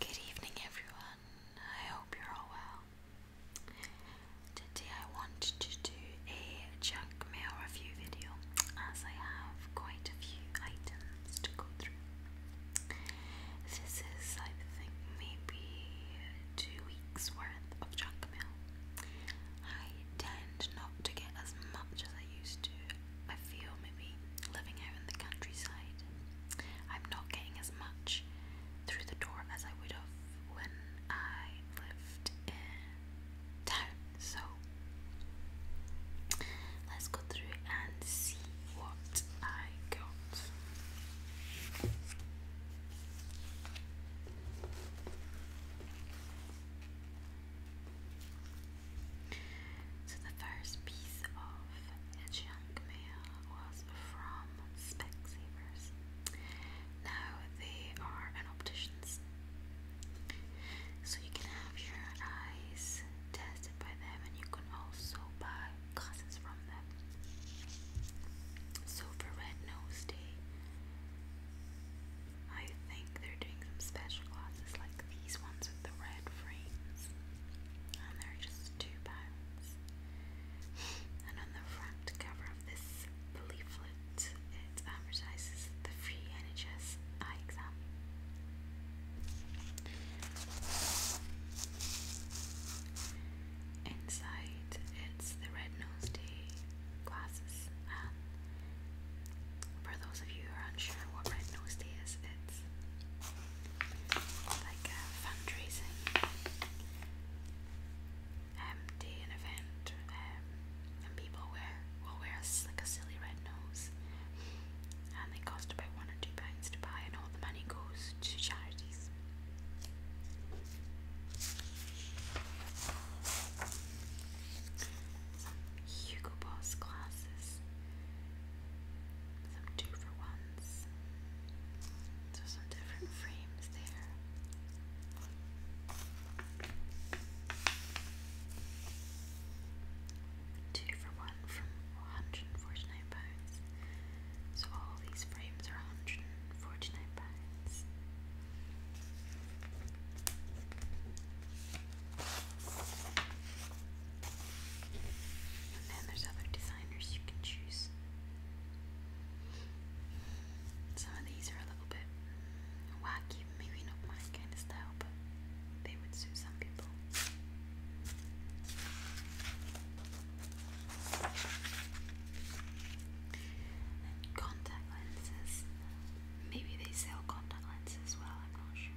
Good evening, everyone. I hope you're all well. Today, I want to do a junk mail review video as I have quite a few items to go through. This is, I think, maybe two weeks worth of junk mail. I tend not to get as much as I used to, I feel maybe living out in the countryside, I'm not getting as much through the door as I would have when I lived in town. So let's go through and see what I got. So the first piece of junk mail was from Specsavers. Now they are an opticians. So you can have your eyes tested by them and you can also buy glasses from them. So for Red Nose Day, I think they're doing some special glasses like these ones with the red frames and are just two pounds. And on the front cover of this leaflet, it advertises the free NHS eye exam. Inside, it's the Red Nose Day glasses, for those of you who are unsure what Red Nose Day is, it's like a uh, fundraising um, event, um, and people wear will wear like a silly red nose, and they cost about one or two pounds to buy, and all the money goes to charities. Hugo Boss glasses some two for ones. So some different frames there. Two for one from £149. So all these frames are £149. And then there's other designers you can choose. Some of these are a little bit wacky, maybe not my kind of style, but they would suit some people. contact lenses. Maybe they sell contact lenses as well, I'm not sure.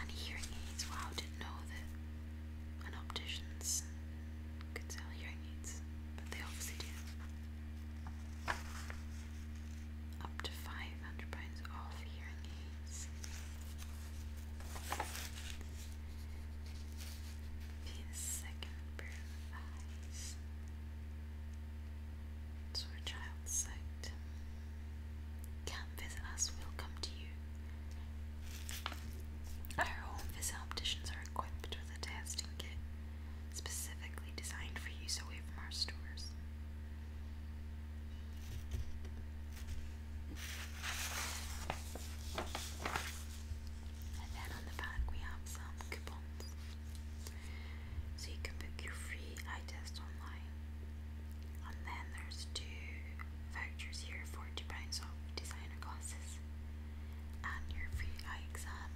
And hearing aids, wow, didn't know that an opticians could sell hearing aids, but they obviously do. Up to five hundred pounds off hearing aids. the second pair of eyes to child's sight. Come visit us, we'll come to you. Our home visitopticians are equipped with a testing kit specifically designed for use away from our stores. And then on the back we have some coupons. So you can book your free eye test online. And then there's two vouchers here, forty pounds off designer glasses and your free eye exam.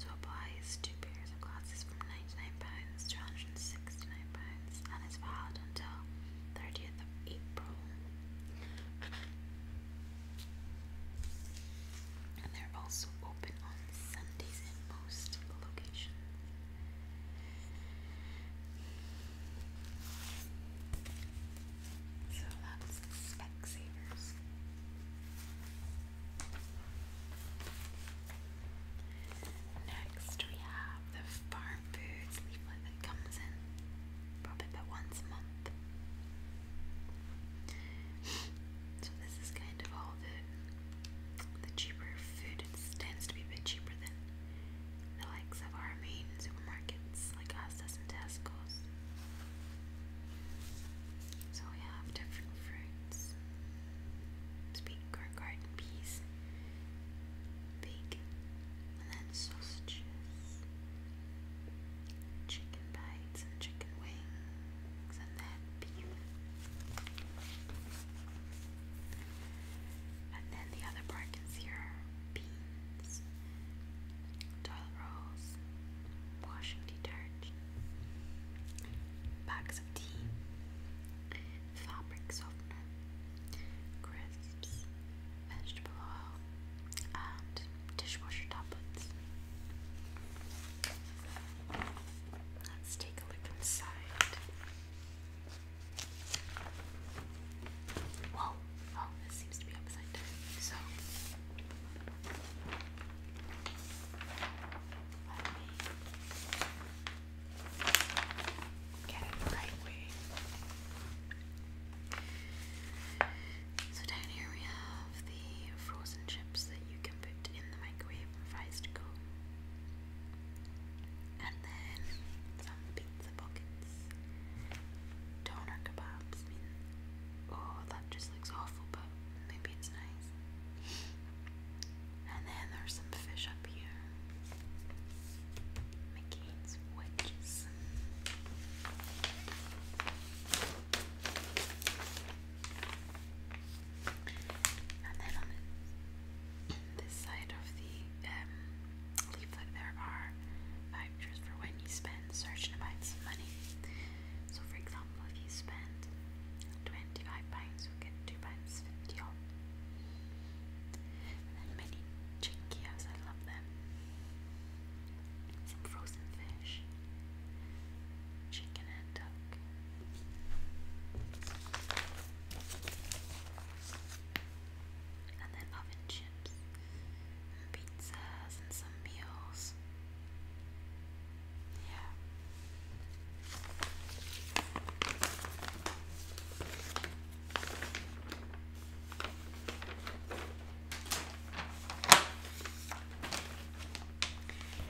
So applies two pairs of glasses from ninety-nine pounds to hundred and sixty-nine pounds and is valid until thirtieth of April and they're also open on Sundays in most locations. So that's Specsavers. Next, we have the farm foods leaflet that comes in probably about once a month. so this is kind end of all the the cheaper food. It tends to be a bit cheaper than the likes of our main supermarkets like Asda's and Tesco's. So we have different fruits. Speak or garden peas, bacon, and then sausages, chicken bites and chicken wings, and and then beef. And then the other part is beans, toilet rolls, washing detergent, bags of tea, fabric softener, crisps, vegetable oil, dishwasher tablets. Let's take a look inside. Whoa! Oh, this seems to be upside down. So, get it right way. So down here we have the frozen chips that you put in the microwave and fries to go. And then some pizza pockets. Doner kebabs. oh, that just looks awful, but maybe it's nice. And then there's some fish up here. McCain's wedges. And then on this side of the um, leaflet, there are vouchers for when you spend certain amounts of money. So, for example, if you spend £25, you get £2.50 then many chinkios, I love them. Some frozen fish chicken and duck. And then oven chips, pizzas, and some meals. Yeah.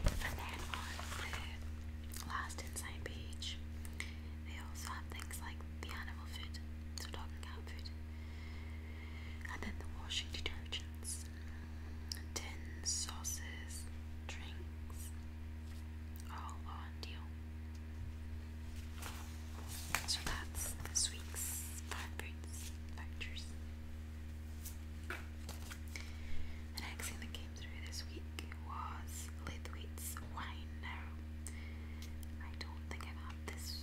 And then on the last inside page, they also have things like the animal food, so dog and and then the washing detergents, tins, sauces, drinks, all on deal. So that's this week's farm foods factors. The next thing that came through this week was Lithwaite's wine. Now, I don't think I've had this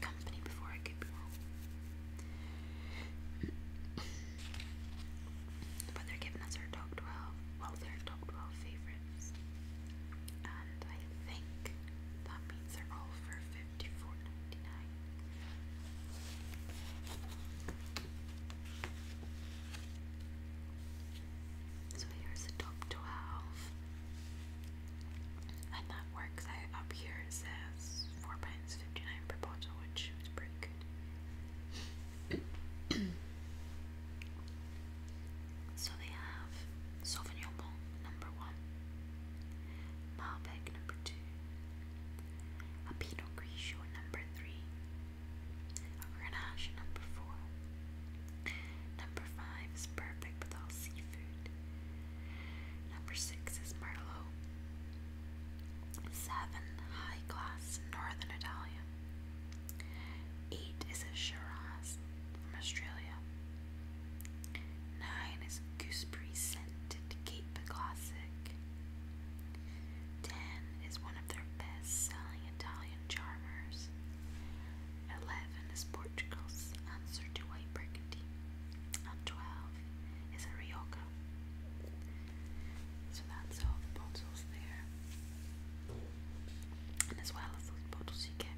company before, I could be wrong. but they're giving us our top 12, well, their top 12 favourites. And I think that means they're all for 54 so here's the top 12. And that works up here. It says £4.59 per bottle, which is pretty good. so they have Sauvignon Blanc number one, Malbec number two, a Pinot Grigio number three, a Grenache number four. Number five is perfect with all seafood. Number six is Merlot. Seven, high class Northern Italian. Eight is a Shiraz from Australia. Nine is Gooseberry Scented Cape Classic. Ten is one of their best selling Italian charmers. Eleven is Portugal's answer to White Burgundy. And twelve is a Rioja. So that's all the bottles there. And as well as those bottles, you get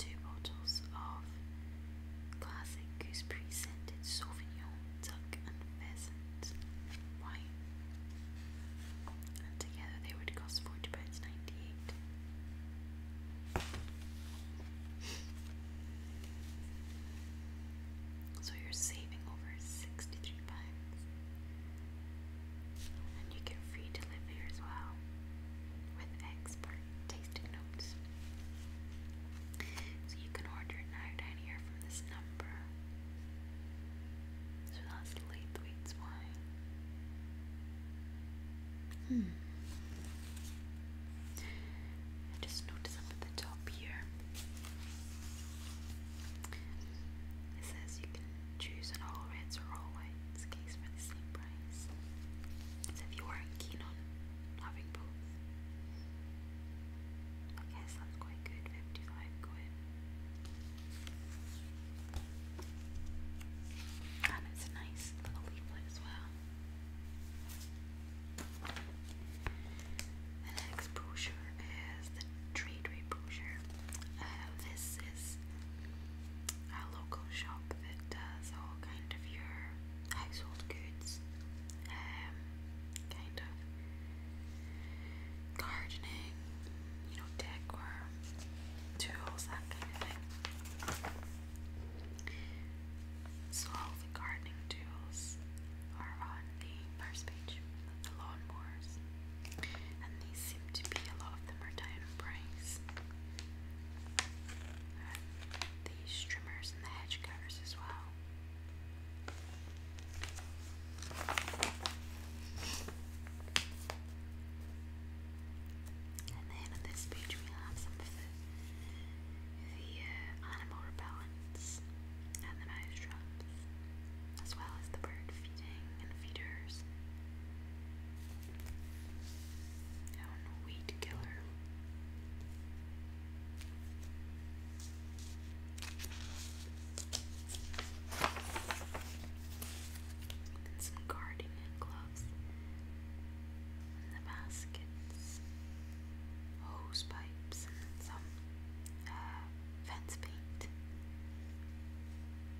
two bottles of classic gooseberry scented Sauvignon duck and pheasant wine, and together they would cost forty pounds ninety-eight. So you're saving over sixty-three pounds, and you get free delivery as well with expert tasting notes. So you can order now down here from this number. So that's Laithwaite's wine. Hmm. just noticed up at the top here. It says you can choose an all reds or all whites case for the same price. So if you weren't keen on having both, Okay, sounds quite good. 55 quid. And a nice little leaflet as well. The next brochure is the trade brochure. Uh, this is a local shop that does all kind of your household goods, um, kind of gardening, you know, decor, tools, that kind of thing. So all the gardening tools are on the first page, the lawnmowers, and these seem to be a lot of them are down in price. And the trimmers and the hedge cutters as well. And then on this page we have some of the, uh, animal repellents and the mouse traps, as well as the bird feeding and feeders. And weed killer. Got some gardening gloves the baskets, hose pipes, some uh, fence paint,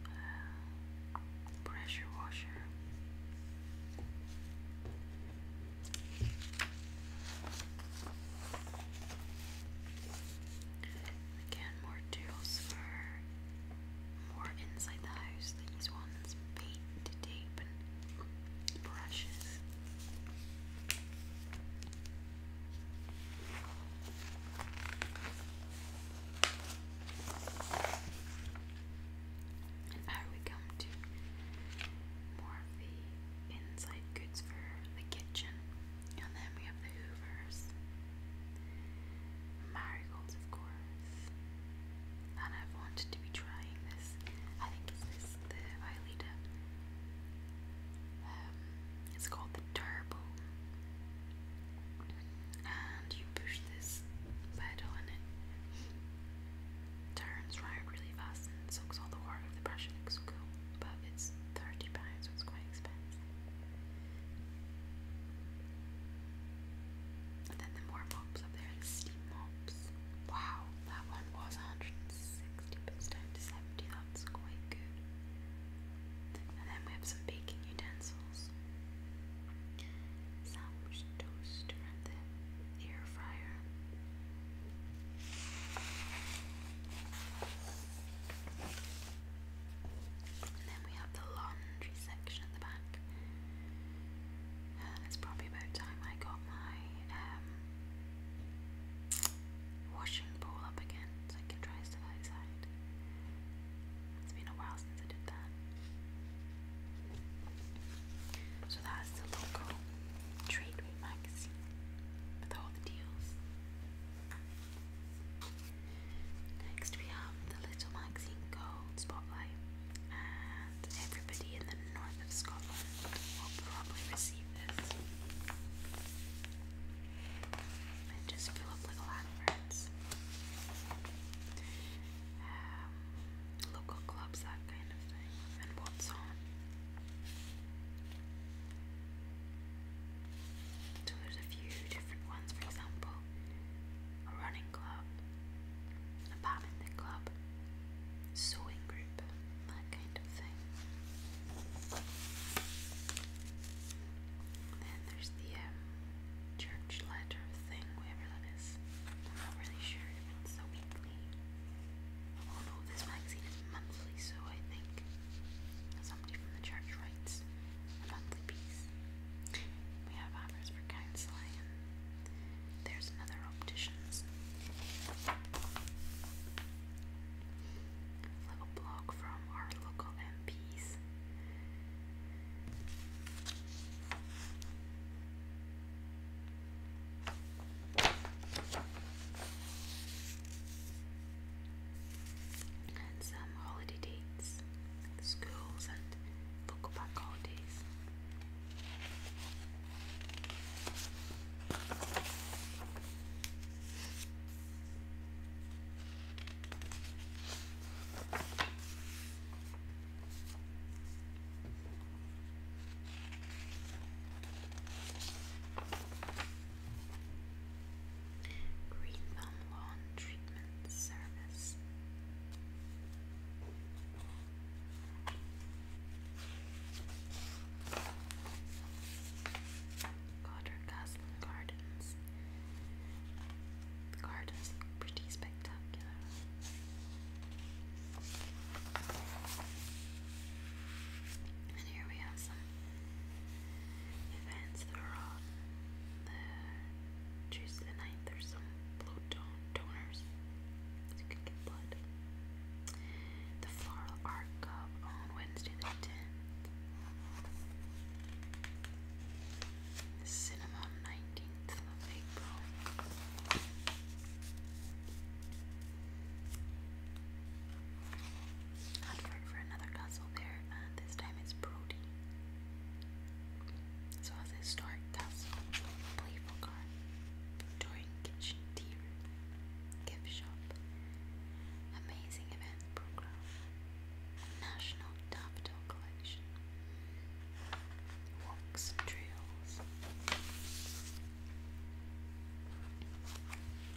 uh, pressure washer. Again, more tools for more inside the house. These ones, paint, tape, and brushes. And now we come to more of the inside goods for the kitchen. And then we have the Hoovers, marigolds, of course. And I've wanted to be trying this. I think is the Violeta. Um, it's called the Turbo. And you push this pedal and it turns round really fast and soaks all the water off the brush. It but it's thirty pounds, so it's quite expensive. then the more mops up there, like steam mops. Wow, that one was 160, but down to 70, that's quite good. And then we have some baking utensils. Sandwich toaster and the air fryer then we have the laundry section at the back. Uh, it's probably about time I got my um, washing bowl up again so I can try stuff outside. It's been a while since I did that. So that's the local trade magazine with all the deals. Next, we have the little magazine called Spotlight, and everybody in the north of Scotland will probably receive this. And just fill up little adverts, um, local clubs, that kind of thing, and what's on. So there's a few different ones, for example, a running club, a badminton club, sewing group, that kind of thing. then there's the um, church letter thing, whatever that is. I'm not really sure it's a weekly. Oh no, this magazine is monthly, so I think somebody from the church writes a monthly piece. We have offers for counseling, there's another opticians. A little blog from our local MPs and some holiday dates, schools and local park holidays. Green Thumb Lawn Treatment Service. Cotter Gardens. The gardens look pretty spectacular. And here we have some events that are on the Tuesday the night. There's some blood don donors, so you can get blood. The Floral Art Cup on Wednesday the 10th. The Cinema on 19th of April. Hunford for another castle there, uh, this time it's Brody. So a historic castle, playful garden, Victorian kitchen, tea room, gift shop, amazing events program, national daffodil collection, walks and trails. Never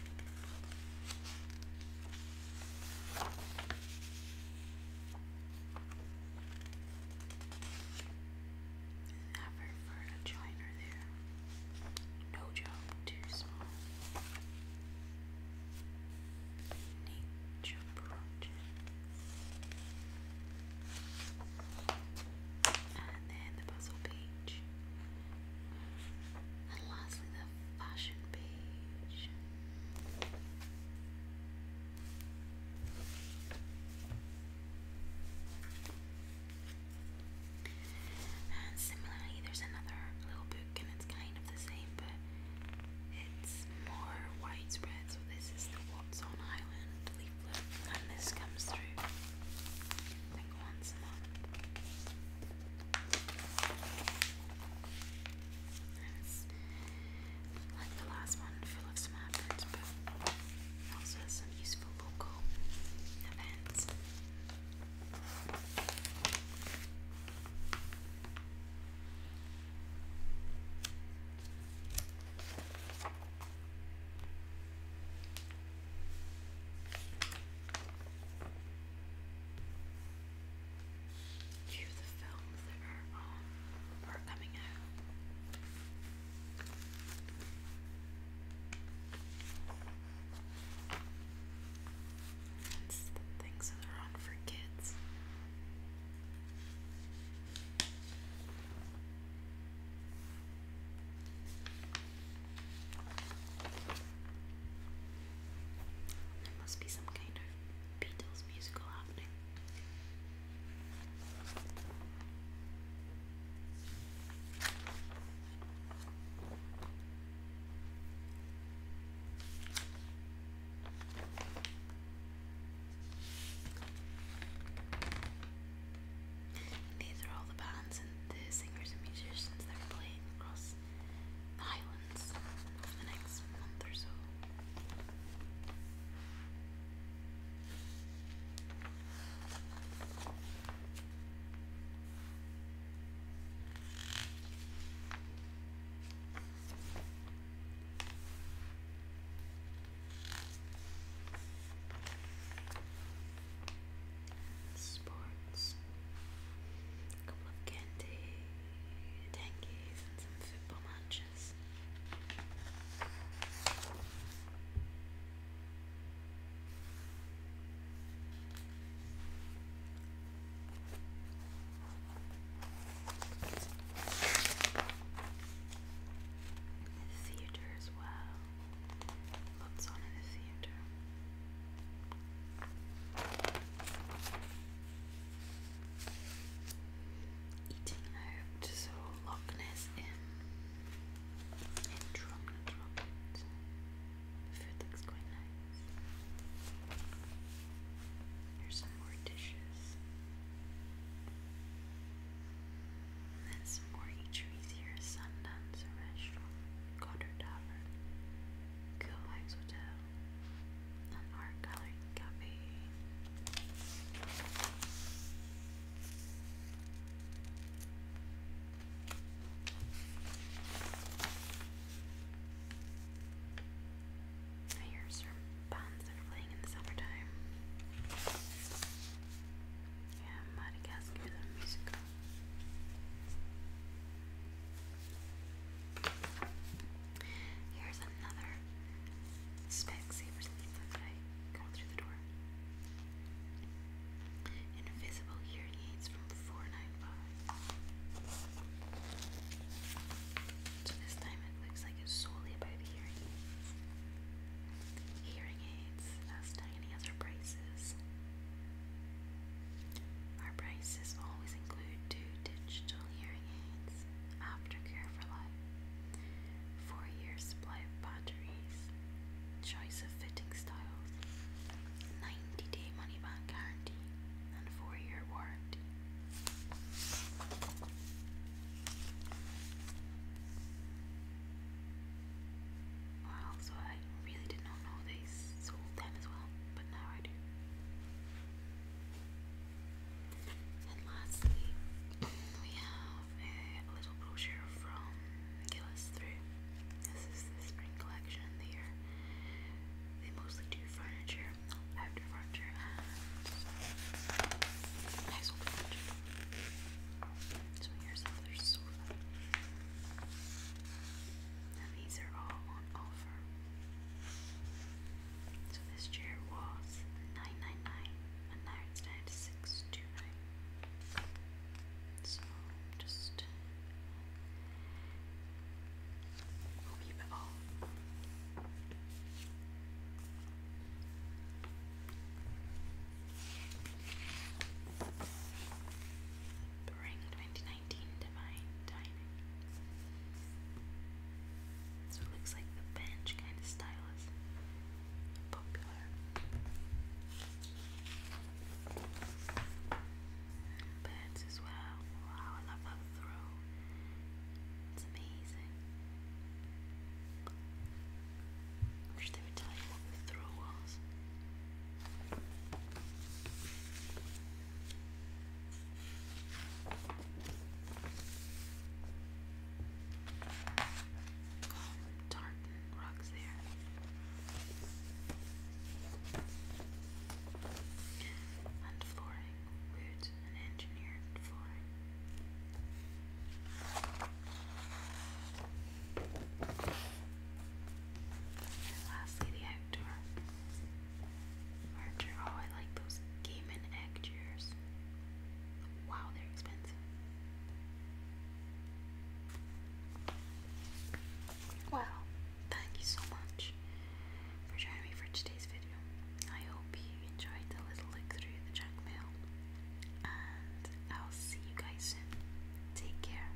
for a joiner there. No job too small. Nature project. And then the puzzle page. And lastly, the fashion page. And similarly, there's another little book, and it's kind of the same, but it's more widespread. So, this is the What's Island leaflet, and this comes through like once the last one, full of some adverts, but also some useful local events view the films that are on um, or coming out. That's the things that are on for kids. There must be some kind of Beatles musical happening. these are all the bands and the singers and musicians that are playing across the Highlands over the next month or so sports, a couple of candy, tankies, and some football matches. theatre as well. Lots on in the theatre. Eating out, so Loch Ness in, in food looks quite nice. Here's some more dishes. then some more eateries here. Sundance Restaurant, Goddard Tavern, Kilmike's Hotel, an art colored I hear some bands are playing in the summertime. Yeah, Madagascar the musical. Here's another Specsavers leaflet that I through the door. Invisible hearing aids from 495. So this time it looks like it's solely about hearing Hearing aids as tiny as her braces. Our prices always include two digital hearing aids, aftercare for life, four-year supply of batteries, choice of fitting styles, 90-day money-back guarantee, and four-year warranty. Wow, so I really did not know this saw then as well, but now I do. And lastly, we have a little brochure from Gillis Through. This is the spring collection there. They mostly do furniture, outdoor furniture, and furniture. So here's another sofa. And these are all on offer. So this chair was nine nine nine, and now it's down to six two nine. So just a wee bit off. Bring 2019 19 Divine So it looks like the bench kind of style is popular. Beds as well. Wow, I love that throw. It's amazing. I wish they would tell you what the throw was. Oh, tartan rugs there. And flooring, wood and engineered flooring. lastly, the outdoor Archer. Oh, I like those Gaiman egg chairs. Wow, they're expensive. Wow, thank you so much for joining me for today's video. I hope you enjoyed the little look through the junk mail. And I'll see you guys soon. Take care.